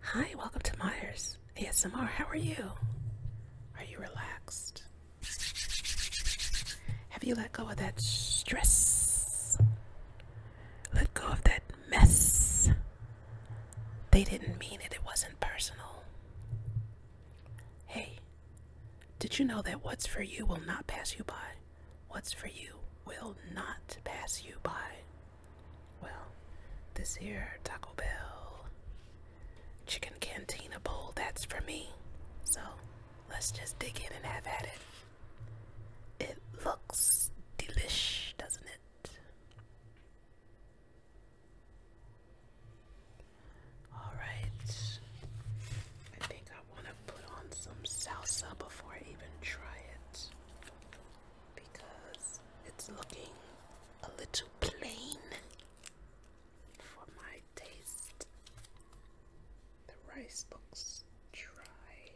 Hi, welcome to Myers ASMR. How are you? Are you relaxed? Have you let go of that stress? Let go of that mess. They didn't mean it, it wasn't personal. Hey, did you know that what's for you will not pass you by? What's for you will not pass you by. Well, this here Taco Bell chicken cantina bowl, that's for me. So let's just dig in and have at it. It looks delish, doesn't it? Alright. I think I want to put on some salsa before I even try it because it's looking a little plain for my taste. The rice looks dry.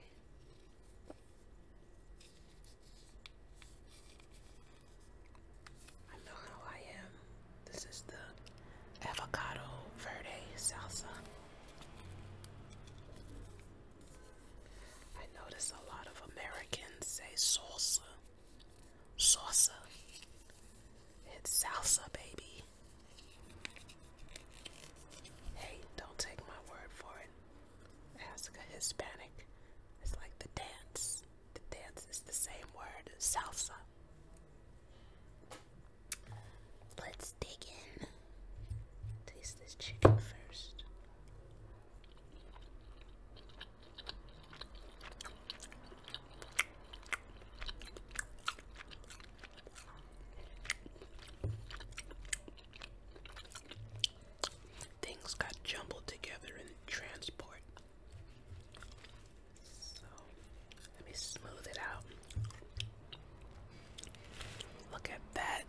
I know how I am. This is the avocado verde salsa. I notice a lot of Americans say salsa. Salsa. It's salsa, baby. Hey, don't take my word for it. Ask a Hispanic. It's like the dance. The dance is the same word, salsa. Let's dig in. Taste this chicken first. Things got jumbled together in transport. So let me smooth it out. Look at that.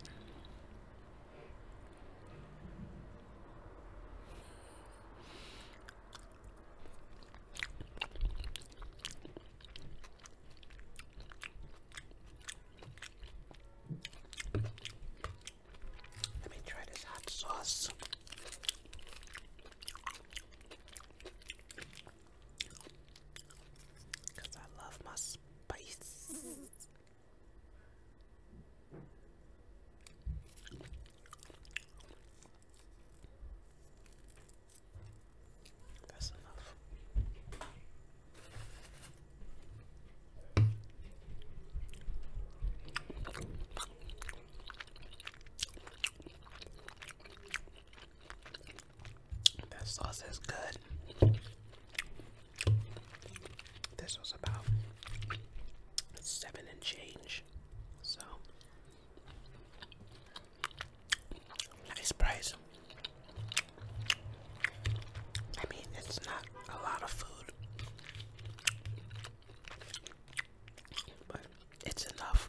Let me try this hot sauce. Because I love my spice. That's enough. That sauce is good. This was about seven and change. So nice price. I mean, it's not a lot of food, but it's enough.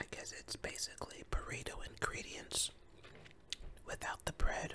I guess it's basically burrito ingredients without the bread.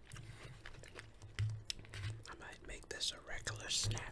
I might make this a regular snack.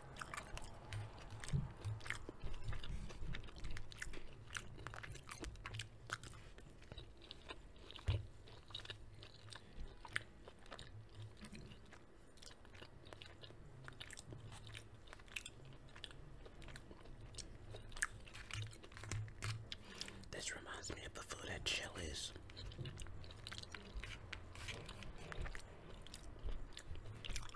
This reminds me of the food at Chili's.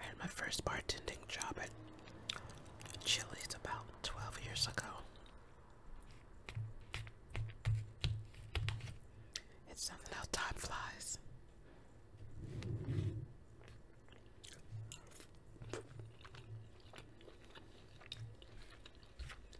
I had my first bartending job at Chili's about 12 years ago. It's something how time flies.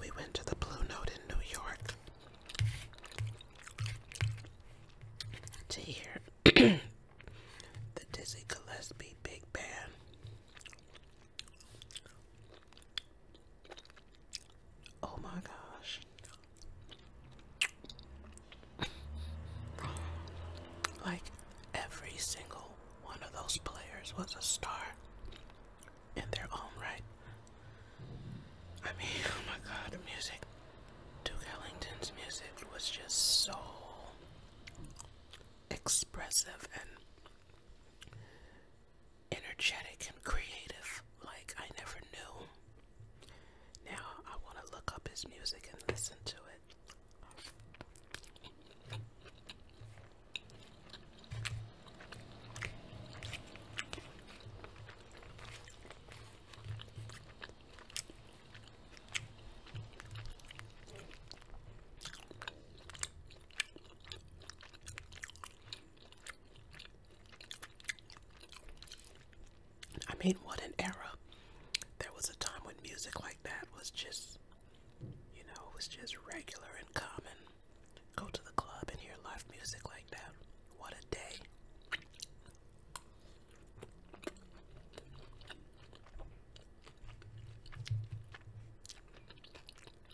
We went to the Blue Note in New York to hear the Dizzy Gillespie Big Band. Oh my gosh. Like every single one of those players was a star in their own right. I mean, oh my god, music. Duke Ellington's music was just so expressive and energetic and creative like I never knew. Now I want to look up his music and listen to it. I mean, what an era. There was a time when music like that was just, you know, it was just regular and common. Go to the club and hear live music like that. What a day.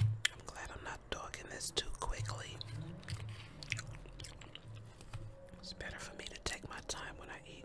I'm glad I'm not dogging this too quickly. It's better for me to take my time when I eat.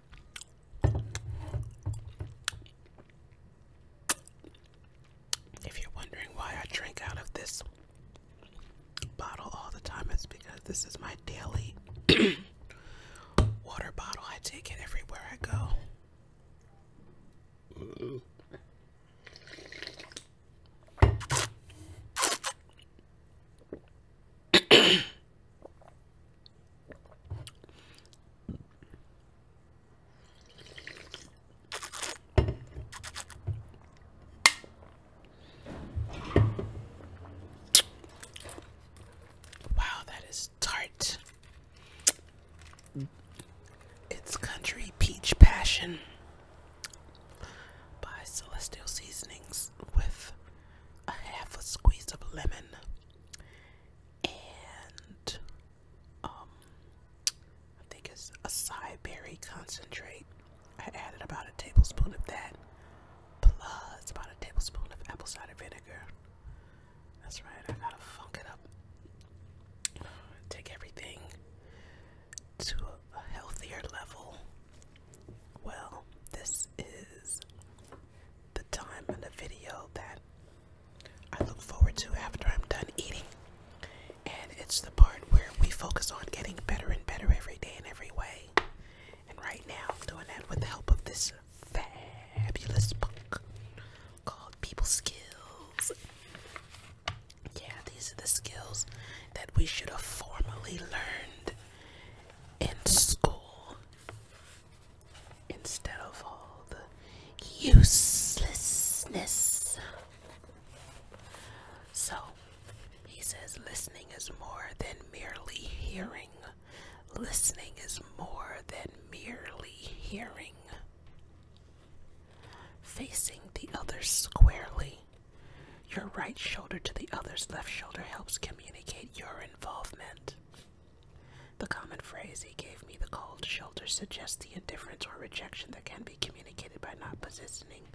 If you're wondering why I drink out of this bottle all the time, it's because this is my daily water bottle. I take it everywhere I go. Wow, that is tart. It's Country Peach Passion by Celestial Seasonings with a half a squeeze of lemon and um, I think it's a berry concentrate. I added about a tablespoon of that, plus about a tablespoon of apple cider vinegar. That's right, I gotta funk it up. Take everything to a healthier level. Well, this is the time and the video that I look forward to after I'm done eating. And it's the part where we focus on getting better and better every day in every way. And right now, I'm doing that with the help of this fabulous book called People Skills. Yeah, these are the skills that we should have formally learned in school instead of all the uselessness. So he says listening is more than merely hearing. Listening is more than merely hearing. Facing the other squarely, your right shoulder to the other's left shoulder helps communicate your involvement. The common phrase, he gave me the cold shoulder, suggests the indifference or rejection that can be communicated by not positioning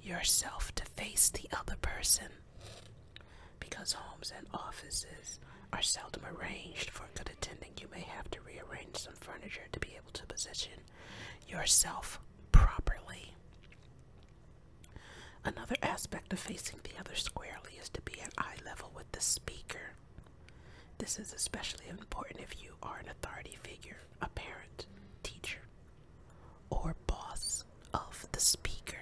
yourself to face the other person. Because homes and offices are seldom arranged for good attending, you may have to rearrange some furniture to be able to position yourself properly. Another aspect of facing the other squarely is to be at eye level with the speaker. This is especially important if you are an authority figure, a parent, teacher, or boss of the speaker.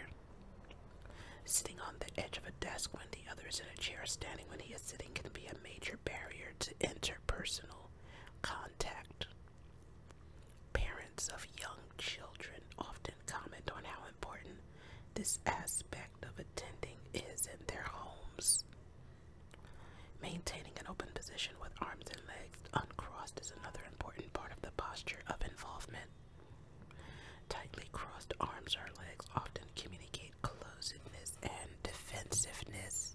Sitting on the edge of a desk when the other is in a chair, standing when he is sitting, can be a major barrier to interpersonal contact. Parents of young children often comment on how important this aspect of attending is in their homes. Maintaining an open position with arms and legs uncrossed is another important part of the posture of involvement. Tightly crossed arms or legs often communicate closeness and defensiveness.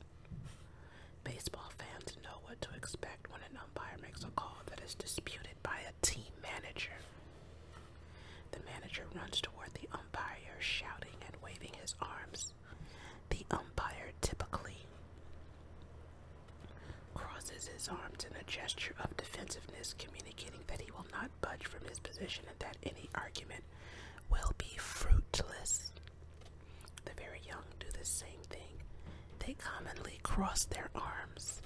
Baseball fans know what to expect when another umpire makes a call that is disputed by a team manager. The manager runs toward the umpire, shouting and waving his arms. The umpire typically crosses his arms in a gesture of defensiveness, communicating that he will not budge from his position and that any argument will be fruitless. The very young do the same thing. They commonly cross their arms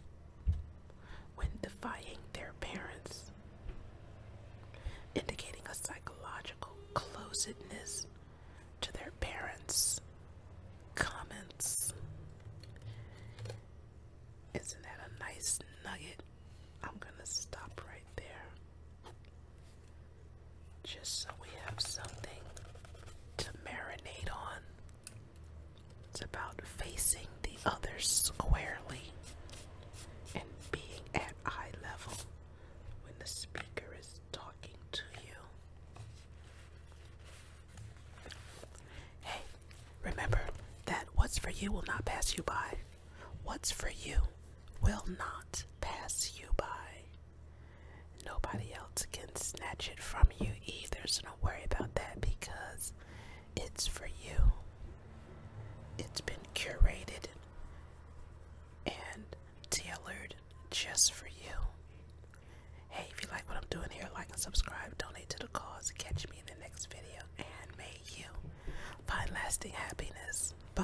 when defying their parents, indicating a psychological closedness to their parents' comments. Isn't that a nice nugget? I'm gonna stop right there just so we have something to marinate on. It's about facing the others squarely and being at eye level when the speaker is talking to you. Hey, remember that what's for you will not pass you by. What's for you will not pass you by. Nobody else can snatch it from you either, so don't worry about that because it's for you. It's been curated and tailored just for you. Hey, if you like what I'm doing here, like and subscribe, donate to the cause, catch me in the next video, and may you find lasting happiness. Bye.